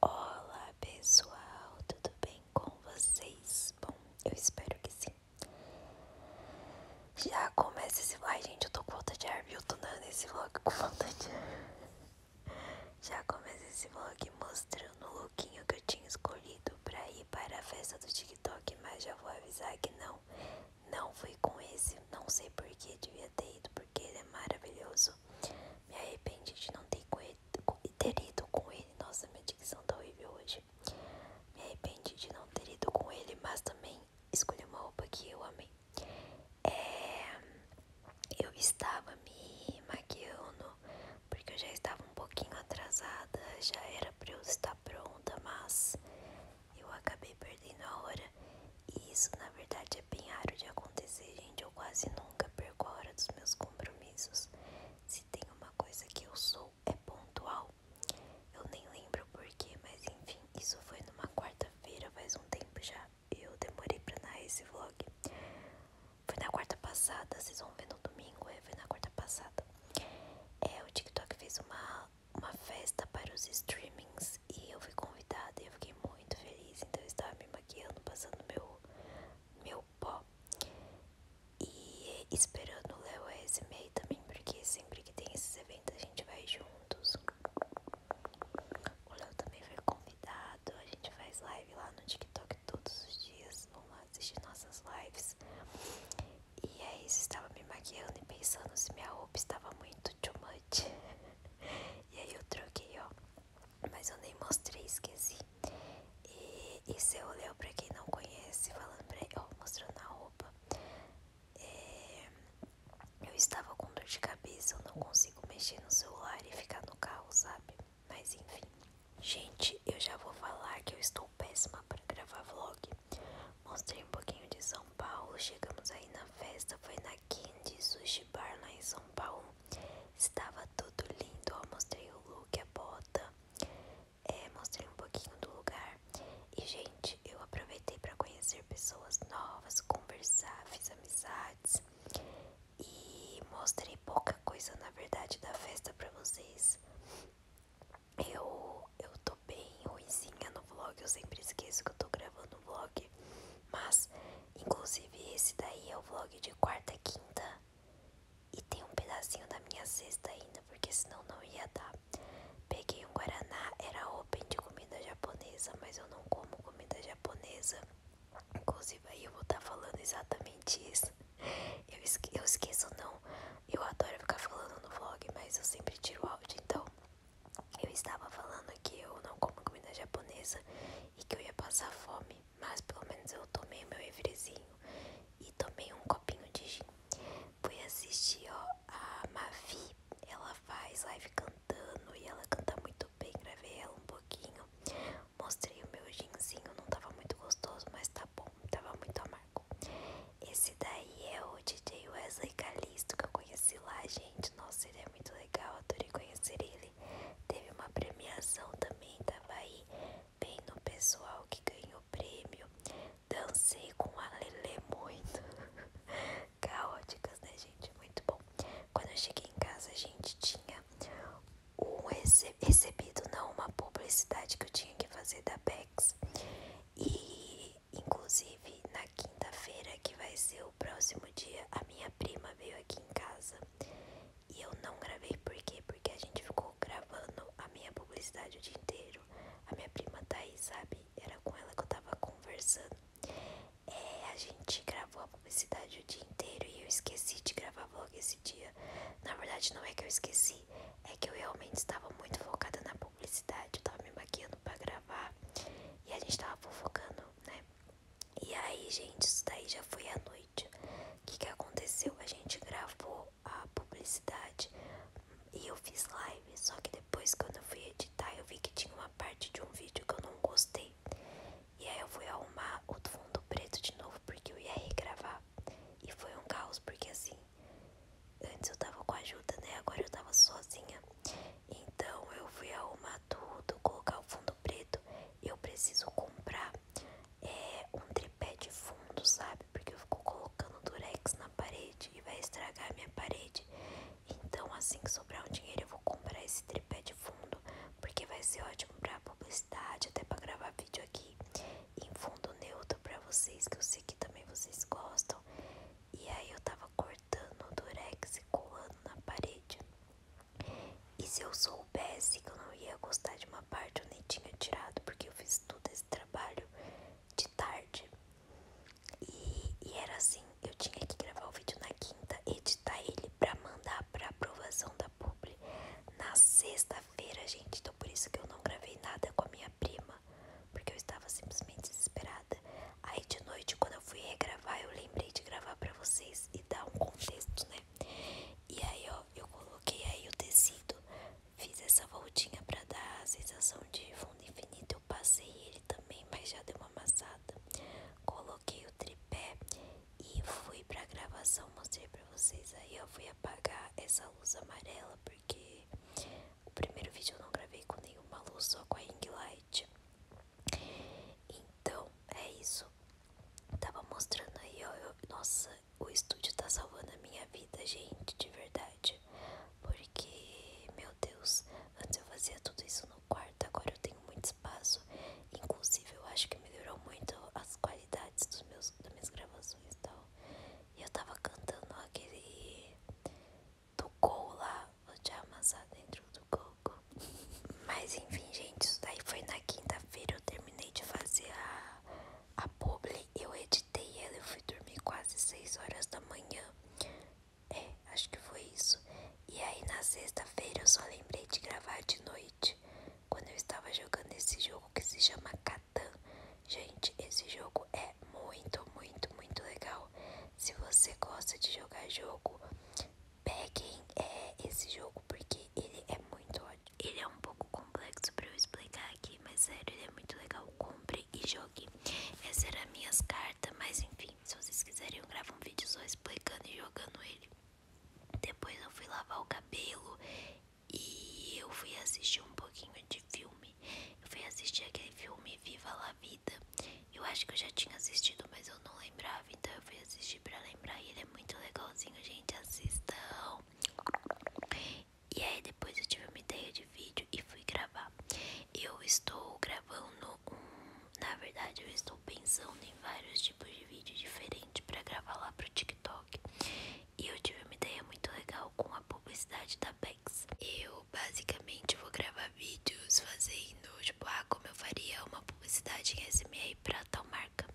Olá pessoal, tudo bem com vocês? Bom, eu espero que sim. Já começa esse. Ai, gente, eu tô com vontade de ar, viu? Tô nesse vlog com vontade. de ar. Já começa esse vlog mostrando o lookinho que eu tinha escolhido pra ir para a festa do TikTok, mas já vou avisar que não. Não fui com esse, não sei por que devia ter ido, porque ele é maravilhoso. Me arrependi de não ter com ele ter ido com ele. Nossa, minha dicção tá horrível hoje. Me arrependi de não ter ido com ele, mas também escolhi uma roupa que eu amei. É, eu estava me maquiando porque eu já estava um pouquinho atrasada, já era pra eu estar pronta, mas eu acabei perdendo a hora. E isso, na verdade, é bem de acontecer, gente. Eu quase nunca perco a hora dos meus compromissos. Se tem uma coisa que eu sou, é pontual. Eu nem lembro porquê, mas enfim, isso foi numa quarta-feira, faz um tempo já. Eu demorei pra narrar esse vlog. Foi na quarta passada, vocês vão ver no domingo, é, foi na quarta passada. É, o TikTok fez uma, uma festa para os streamings e eu fui convidada e eu fiquei muito feliz. Então eu estava me maquiando, passando meu, meu pó. E esperando o Léo meio também, porque sempre que tem esses eventos a gente vai juntos. O Léo também foi convidado, a gente faz live lá no TikTok todos os dias, vão lá assistir nossas lives. E é isso, estava me maquiando e pensando se minha roupa estava muito too much. e aí eu troquei, ó mas eu nem mostrei, esqueci. E, e eu Leo, pra quem não conhece, falando pra ele, ó, mostrando a roupa, é, eu estava com dor de cabeça, eu não consigo mexer no celular e ficar no carro, sabe? Mas enfim. Gente, eu já vou falar que eu estou péssima para gravar vlog. Mostrei um pouquinho de São Paulo, chegamos aí na festa, foi na Candy Sushi Bar lá em São Paulo. Estava tudo lindo. Eu mostrei o look, a bota, é, mostrei um pouquinho do lugar. E, gente, eu aproveitei para conhecer pessoas novas, conversar, fiz amizades e mostrei pouca coisa, na verdade, da festa para vocês. Eu, eu tô bem ruizinha no vlog, eu sempre esqueço que eu tô gravando um vlog. Mas, inclusive, esse daí é o vlog de quarta e quinta. E tem um pedacinho da minha sexta ainda, porque senão não ia dar. Peguei um guaraná, era open de comida japonesa, mas eu não como comida japonesa. Inclusive, aí eu vou estar tá falando exatamente isso. Eu, esque eu esqueço, não. Eu adoro ficar falando no vlog, mas eu sempre tiro o áudio. Então, eu estava falando que eu não como comida japonesa e que eu ia passar fome mas pelo menos eu tomei o meu refrezinho e tomei um copinho de gin. Fui assistir ó, a Mavi, ela faz live cantando e ela canta muito bem, gravei ela um pouquinho. Mostrei o meu ginzinho, não tava muito gostoso, mas tá bom, tava muito amargo. Esse daí é o DJ Wesley Calisto que eu conheci lá, gente. Nossa, ele é muito legal, adorei conhecer ele. Teve uma premiação também tava aí bem no pessoal que ganhou prêmio. Dancei com a Lele muito. Caóticas, né, gente? Muito bom. Quando eu cheguei em casa, a gente tinha um recebido, não, uma publicidade que eu tinha que fazer da Bex. E, inclusive, na quinta-feira, que vai ser o próximo dia, a minha prima veio aqui em casa e eu não gravei por Porque a gente ficou gravando a minha publicidade o dia inteiro. A minha prima Thaís, sabe? Era com ela que eu tava conversando. É, a gente gravou a publicidade o dia inteiro e eu esqueci de gravar vlog esse dia. Na verdade, não é que eu esqueci, é que eu realmente estava muito focada na publicidade. Eu tava me maquiando pra gravar e a gente tava fofocando, né? E aí, gente, isso daí já foi à noite. O que, que aconteceu? A gente gravou a publicidade e eu fiz live. Só que depois, quando eu fui editar, eu vi que tinha uma parte de um vídeo que eu não gostei. E aí eu fui arrumar o fundo preto de novo porque eu ia regravar. E foi um caos, porque assim, antes eu tava com ajuda, né? Agora eu tava sozinha. Então eu fui arrumar tudo, colocar o fundo preto, eu preciso comprar é, um tripé de fundo, sabe? Porque eu fico colocando durex na parede e vai estragar a minha parede. Então, assim que sobrar um dinheiro, eu vou comprar esse tripé de fundo, porque vai ser ótimo para publicidade, até para gravar vídeo aqui em fundo neutro para vocês, que eu sei que também vocês gostam. E aí eu tava cortando o durex e colando na parede. E se eu soubesse que eu não ia gostar de uma parte, eu nem tinha tirado, porque eu fiz todo esse trabalho de tarde. E, e era assim, eu tinha que gravar o vídeo na quinta, editar ele pra mandar pra aprovação da publi na sexta-feira, gente. Então por isso que eu não gravei nada com a minha prima, porque eu estava simplesmente desesperada. Aí de noite, quando eu fui regravar, eu lembrei de gravar pra vocês e dá um contexto, né? E aí, ó, eu coloquei aí o tecido, fiz essa voltinha pra dar a sensação de fundo infinito. Eu passei ele também, mas já deu uma amassada. Coloquei o tripé e fui pra gravação. Mostrei pra vocês aí, ó. Fui apagar essa luz amarela porque o primeiro vídeo eu não gravei com nenhuma luz, só com a ring light. Então, é isso. Tava mostrando aí, ó. nossa, o estúdio tá salvando a minha vida, gente, de verdade. Porque, meu Deus, antes eu fazia tudo isso no quarto, agora eu tenho muito espaço. Inclusive, eu acho que melhorou muito as qualidades dos meus, das minhas gravações e tal. E eu tava cantando aquele do gol lá, vou te amassar dentro do gol. Mas enfim, gente, isso daí foi na quinta-feira. Eu terminei de fazer a, a publi, eu editei ela, eu fui dormir quase 6 horas da manhã. É, acho que foi isso. E aí na sexta-feira eu só lembrei de gravar de noite. Quando eu estava jogando esse jogo que se chama Catan. Gente, esse jogo é muito, muito, muito legal. Se você gosta de jogar jogo, peguem é, esse jogo porque ele é muito ótimo. Ele é um pouco complexo para eu explicar aqui, mas sério, ele é muito legal. Compre e jogue. Essas eram minhas cartas, mas enfim, se vocês quiserem eu gravo um vídeo só explicando e jogando ele. Depois eu fui lavar o cabelo e eu fui assistir um pouquinho de filme. Eu fui assistir aquele filme Viva la Vida. Eu acho que eu já tinha assistido, mas eu não lembrava, então eu fui assistir pra lembrar. E ele é muito legalzinho, gente. Assistam. E aí, depois eu tive uma ideia de vídeo e fui gravar. Eu estou gravando um. Na verdade, eu estou pensando em vários tipos de vídeo diferentes pra gravar lá pro TikTok. E eu tive uma ideia muito legal com a publicidade da Bex. Eu basicamente vou gravar vídeos fazendo, tipo, ah, como eu faria uma publicidade em SMA para tal marca.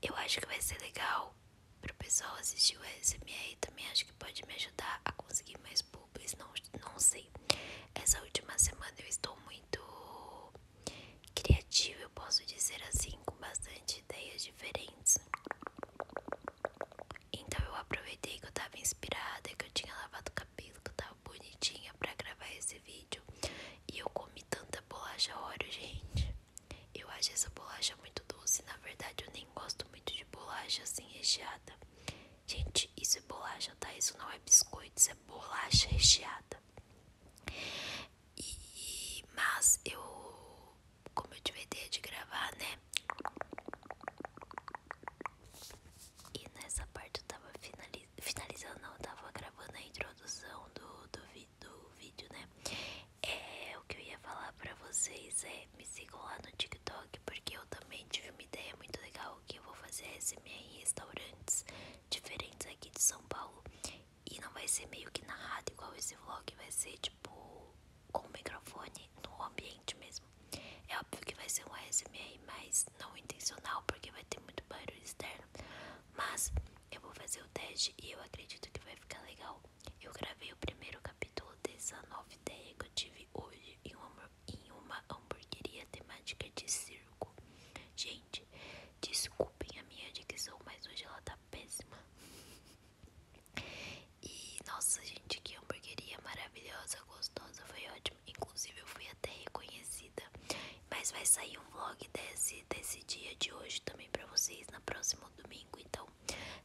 Eu acho que vai ser legal para o pessoal assistir o SMA e também acho que pode me ajudar a conseguir mais públicos, não, não sei. Essa última semana eu estou muito criativa, eu posso dizer assim, com bastante ideias diferentes. Então eu aproveitei que eu estava inspirada, que eu tinha lavado o cabelo, que eu estava bonitinha para gravar esse vídeo vídeo. E eu comi tanta bolacha Oreo, gente. Eu acho essa bolacha muito doce. Na verdade, eu nem gosto muito de bolacha assim recheada. Gente, isso é bolacha, tá? Isso não é biscoito, isso é bolacha recheada. E, mas eu, como eu tive a ideia de gravar, né? E nessa parte eu tava finalizando finalizando, não, tava gravando a introdução do, do, vídeo, né? É, o que eu ia falar pra vocês é, me sigam lá no TikTok, porque eu também tive uma ideia muito legal que eu vou fazer SMA em restaurantes diferentes aqui de São Paulo. E não vai ser meio que narrado igual esse vlog, vai ser tipo com o microfone no ambiente mesmo. É óbvio que vai ser uma ASMR mas não intencional, porque vai ter muito barulho externo. Mas eu vou fazer o teste e eu acredito que vai ficar legal. Eu gravei o primeiro capítulo dessa nova ideia que eu tive hoje em uma, em uma hamburgueria temática de circo. Gente, desculpem a minha dicção, mas hoje ela tá péssima. E nossa, gente, que hamburgueria maravilhosa, gostosa, foi ótima. Inclusive, eu fui até reconhecida. Mas vai sair um vlog desse, desse dia de hoje também pra vocês na próxima domingo. Então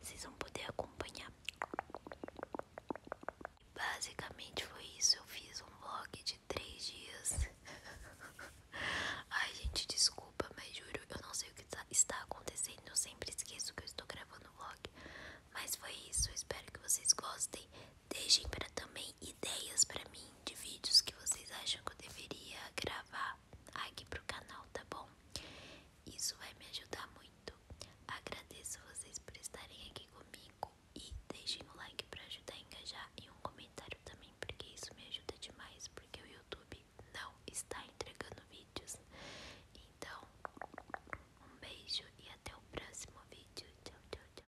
vocês vão poder acompanhar. Basicamente foi isso. Eu fiz um vlog de três dias. Ai, gente, desculpa, mas juro, eu não sei o que tá, está acontecendo. Eu sempre esqueço que estou gravando vlog. Mas foi isso. espero que vocês gostem. Deixem para também ideias para mim de vídeos que vocês acham que eu deveria gravar aqui para o canal, tá bom? Isso vai me ajudar muito. Agradeço vocês por estarem aqui comigo e deixem o like para ajudar a engajar e um comentário também, porque isso me ajuda demais, porque o YouTube não está entregando vídeos. Então, um beijo e até o próximo vídeo. Tchau, tchau, tchau.